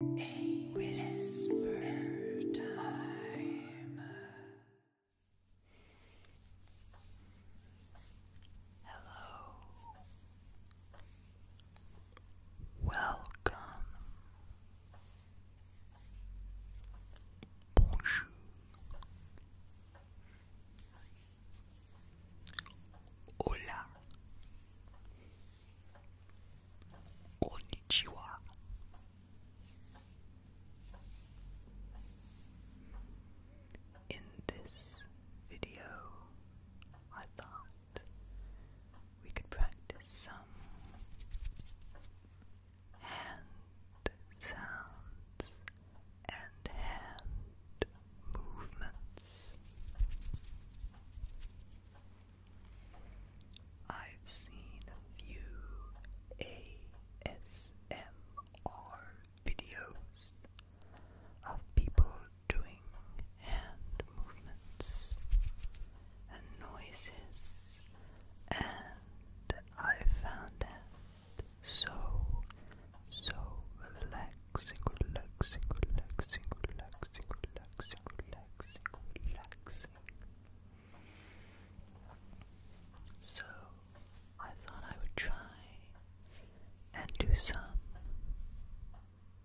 A whisper time. Hello. Welcome. Bonjour. Hola. Konnichiwa. In this video, I thought we could practice some hand sounds and hand movements. I've seen a few ASMR videos of people doing hand movements and noises, and I found that so, so relaxing relaxing, So, I thought I would try and do some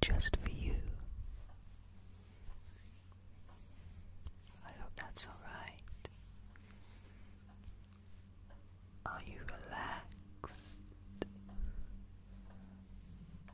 just for you. I hope that's alright. Are you relaxed?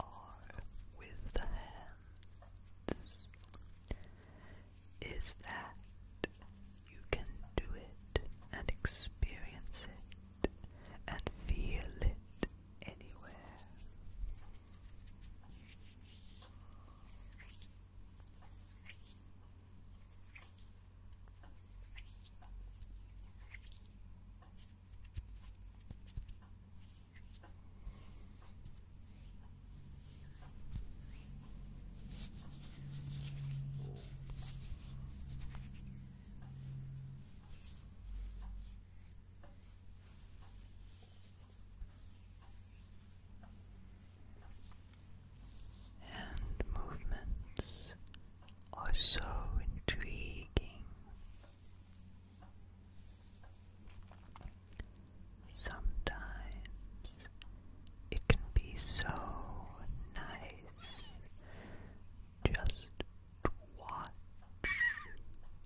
are with the hands is that you can do it and experience it and feel it anywhere. And movements are so intriguing. Sometimes it can be so nice just watch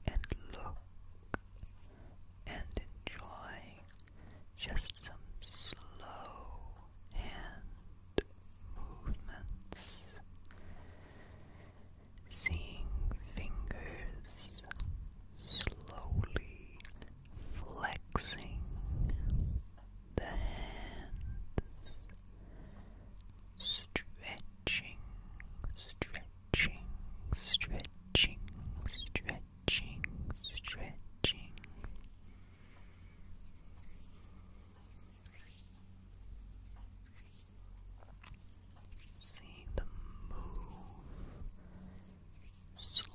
and look and enjoy just some slow hand movements seeing fingers slowly flexing the hands, stretching, stretching, stretching, stretching, stretching. Seeing them move slowly,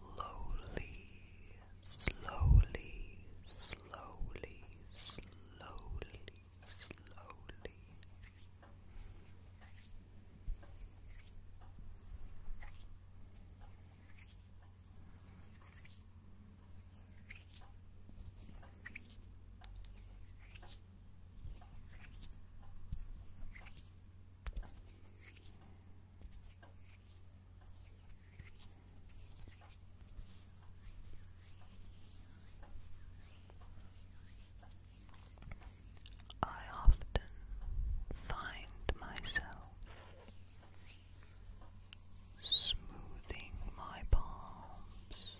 slowly, slowly, slowly, slowly. I often find myself smoothing my palms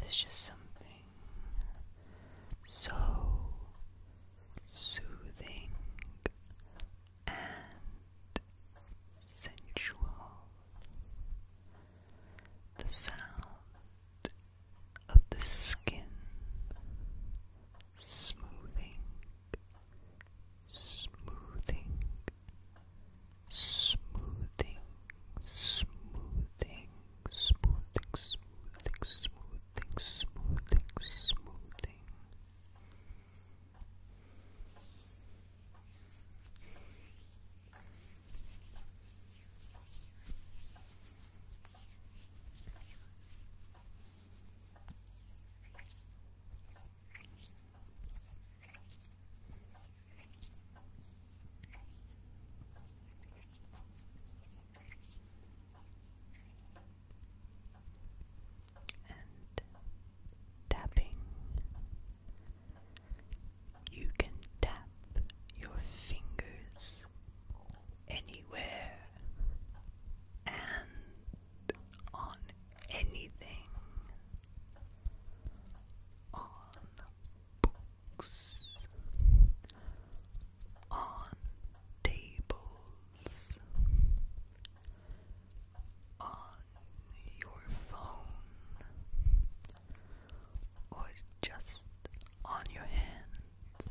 There's just something so soothing and sensual. The sound of the skin smoothing smoothing, smoothing, smoothing, smoothing, smoothing, smoothing, smoothing, smoothing. Smoothing, and tapping. You can tap your fingers anywhere and on anything on books on tables on your phone or just on your hands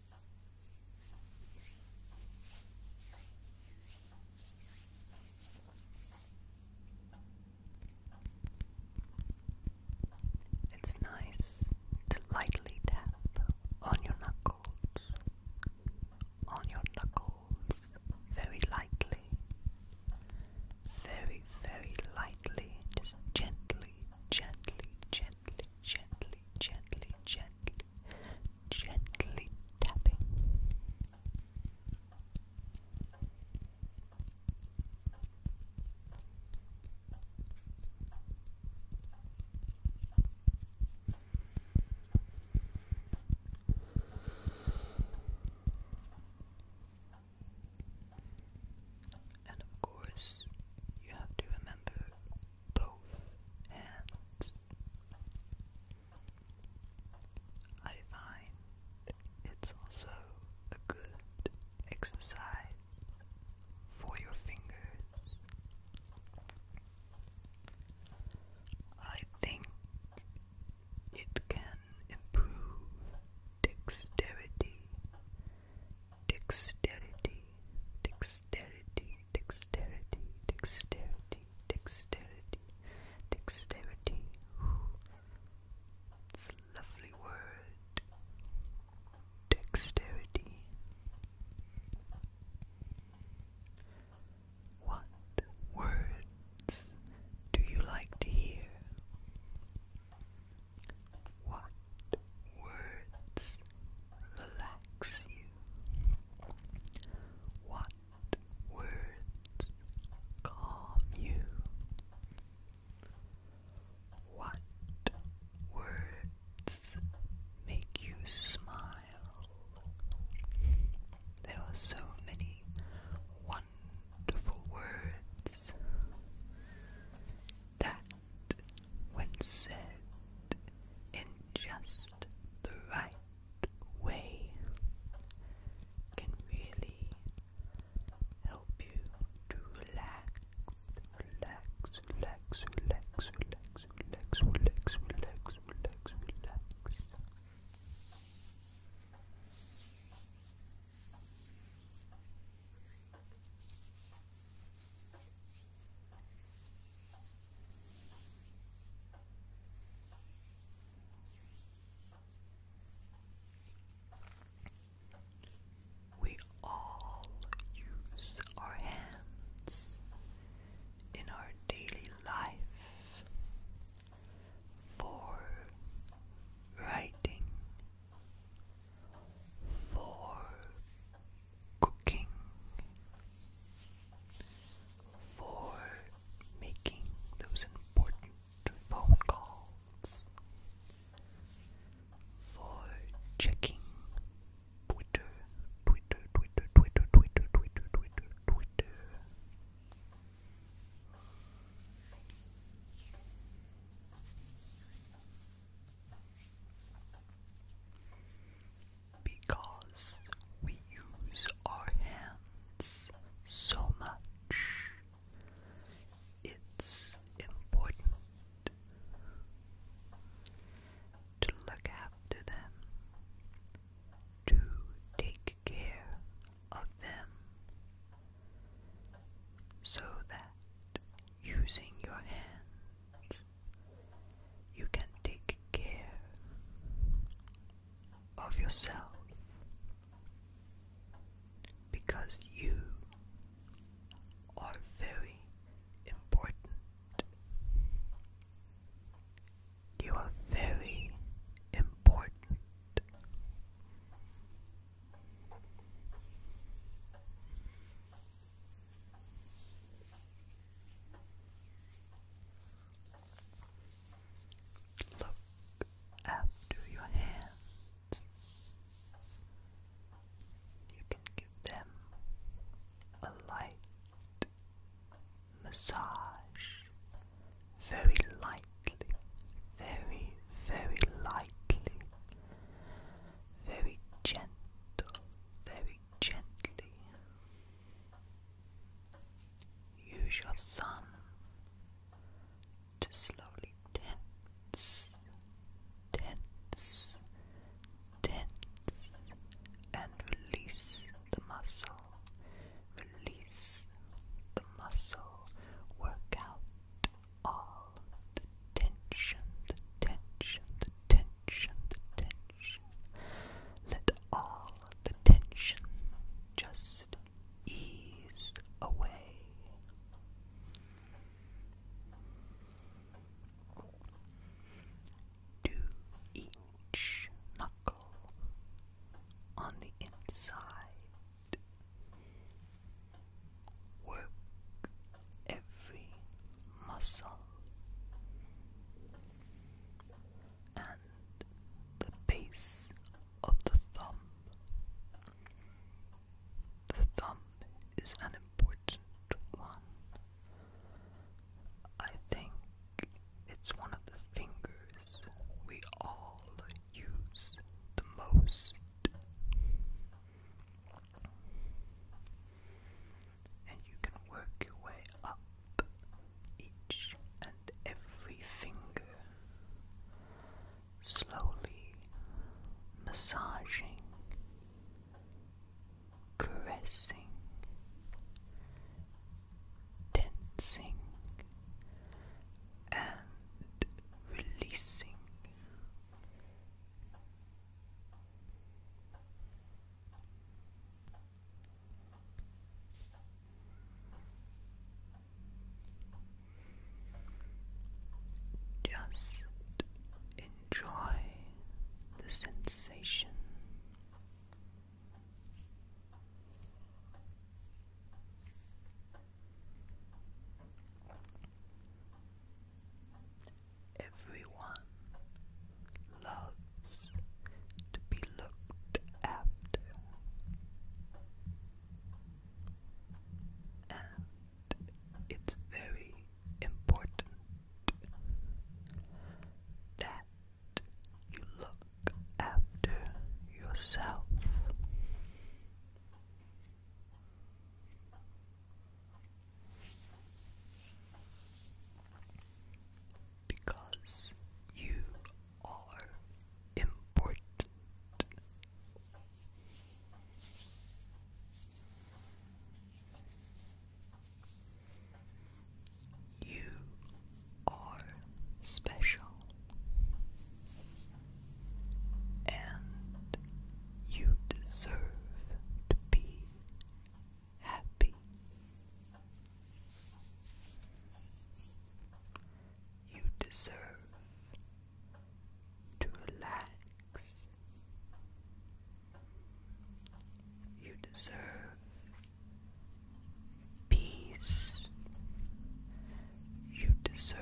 It's nice to lightly tap on your knuckles, on your knuckles, very lightly, very, very lightly, just gently, gently, gently, gently, gently, gently, gently tapping. And of course, you have to remember both hands. I find it's also a good exercise for your fingers. I think it can improve dexterity dexterity, dexterity, dexterity, dexterity, dexterity, dexterity. Ooh. It's a lovely word. Dexterity. What words do you like to hear? What words relax you? What words calm you? What words make you smile? There are so many wonderful words that when said in just the right way, can really help you to relax, relax, relax, relax, relax, relax, relax, relax, relax, relax. We all use our hands in our daily life for writing, for cooking, for making those important phone calls, for checking Twitter, Twitter, Twitter, Twitter, Twitter, Twitter, Twitter, Twitter. Because we use our hands so much, it's important to look after them, to take care of them, so that using your hands, you can take care of yourself because you are very important. You are very important. Look after your hands. You can give them a light massage very lightly, very, very lightly very gentle, very gently. Use your thumb to slowly tense, tense, tense, and release the muscle. Release the muscle. Work out all the tension, the tension, the tension, the tension. Let all the tension just ease away. Do each knuckle on the inside. Work every muscle, and the base of the thumb. The thumb is an important one. I think it's one of the fingers we all use the most. And you can work your way up each and every finger, slowly massaging, caressing, tensing, and releasing just enjoy the sensation. Everyone loves to be looked after, and it's very important that you look after yourself. Because you are important. You are special. And you deserve to be happy. You deserve to relax. You deserve peace. You deserve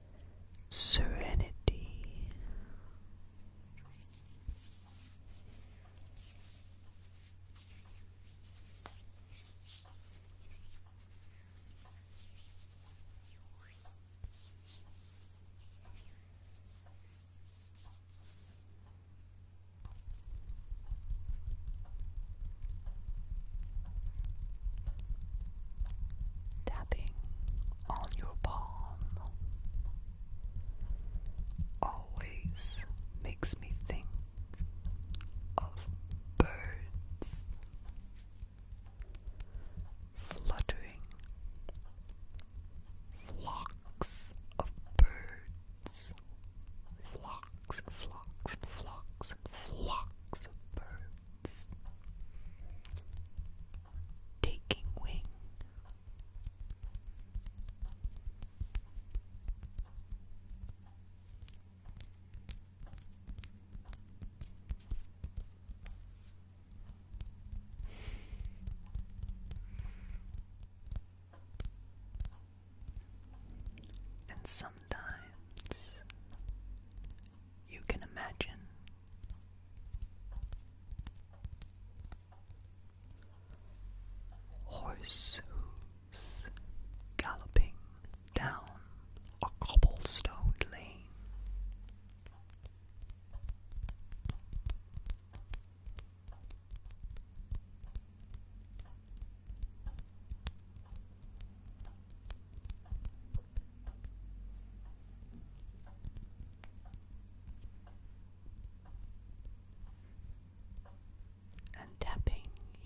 serenity. Tapping on your palm always makes me think of birds fluttering, flocks of birds, flocks, flocks, flocks, flocks of birds birds taking wing. And sometimes you can imagine. Horse galloping down a cobblestoned lane and tapping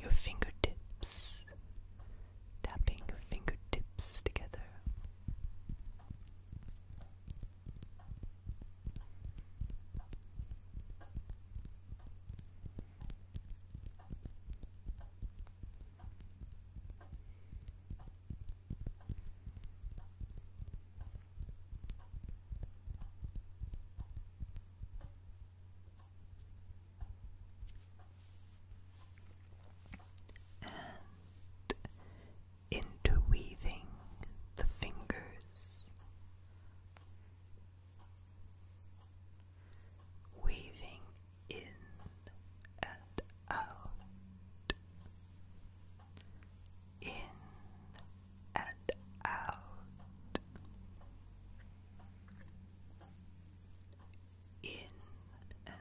your fingertips, tapping your fingertips together and interweaving the fingers, weaving in and out, in and out. In and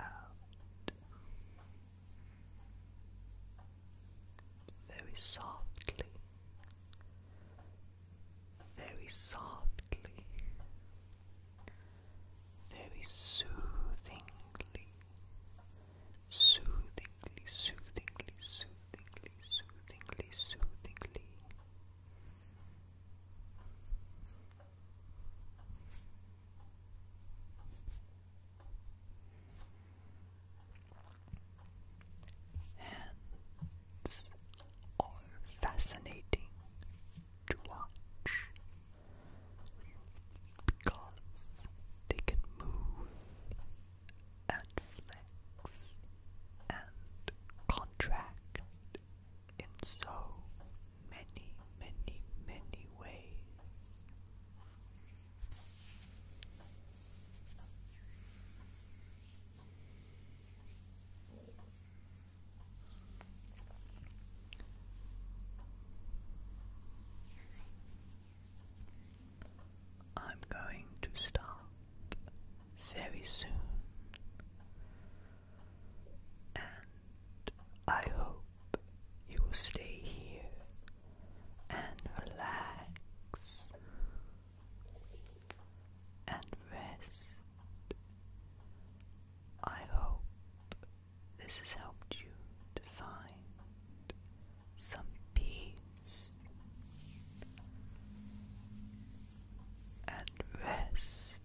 out, very softly, very softly, very soothingly, soothingly, soothingly, soothingly, soothingly, Hands are fascinating to watch because they can move and flex and contract in so many, many, many ways. I'm going to start very soon, and I hope you will stay here and relax and rest. I hope this has helped you to find some peace and rest.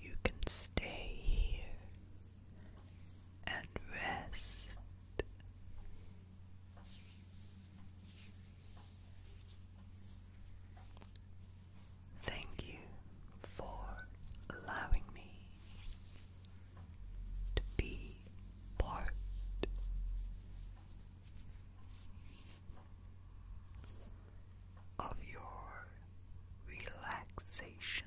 You can stay here and rest. Thank you for allowing me to be part of your relaxation